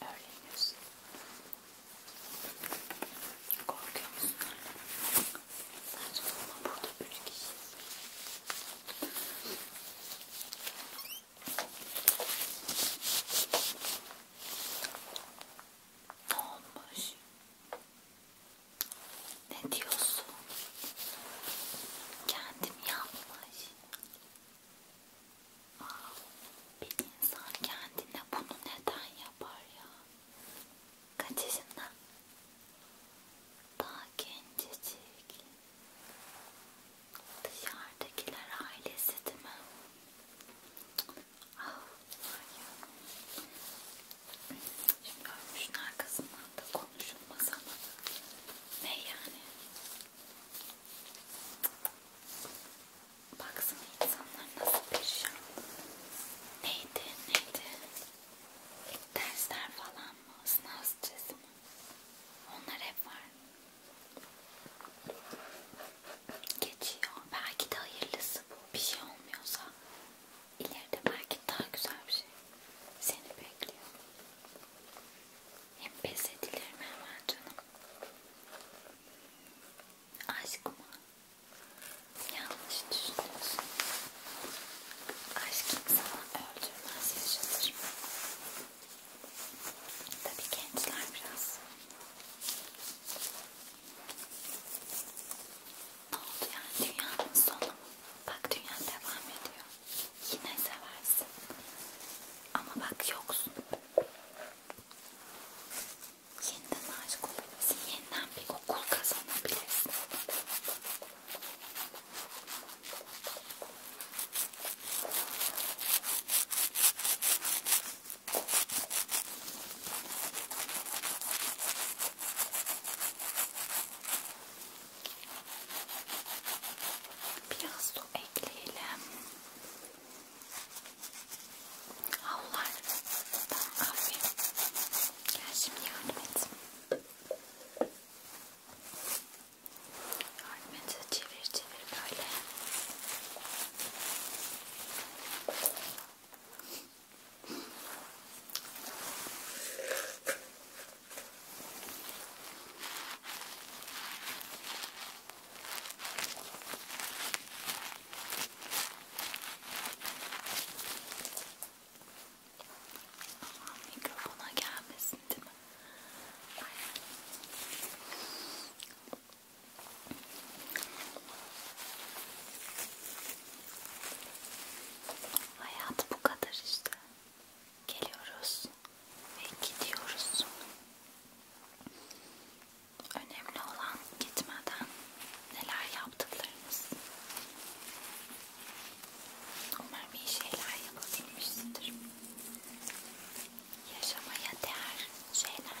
öğreniyorsun. Korkuyor musun? Saçmalama burada üç kişiyiz. Ne olmuş? Ne diyorsun? Kendim yapmış. Bir insan kendine bunu neden yapar ya? Kaç yaşında? Daha gencecik. Dışarıdakiler ailesi değil mi? Ah, Şimdi ölmüşün arkasından da konuşulmaz ama ne yani? Baksana insanlar nasıl perişan. Neydi neydi? Dersler falan mı? Sınav stresi mi? Onlar hep var. Geçiyor. Belki de hayırlısı bu. Bir şey olmuyorsa ileride belki daha güzel bir şey seni bekliyor. Hem pes edilir mi hemen canım? Aşk mı? Yanlış düşünüyorsun. Aşk insanı öldürmez, yaşatır. Tabii gençler biraz. Ne oldu yani? Dünyanın sonu. Bak dünya devam ediyor. Yine seversin. Ama bak yoksun. Yeniden aşık olabilirsin. Yeniden bir okul kazanabilirsin. Biraz su ekleyelim. Havlar. Tamam aferin. Gel şimdi yardım et. Yardım et. Çevir çevir böyle. Tamam, mikrofona gelmesin değil mi? Hayat bu kadar işte geliyoruz ve gidiyoruz. Önemli olan gitmeden neler yaptıklarımız. Umarım iyi şeyler yapabilmişsindir. Yaşamaya değer şeyler.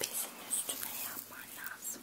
Bezin üstüne yapman lazım.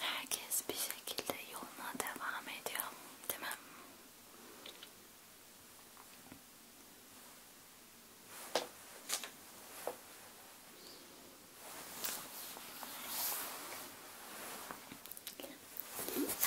herkes bir şekilde yoluna devam ediyor değil mi? Şöyle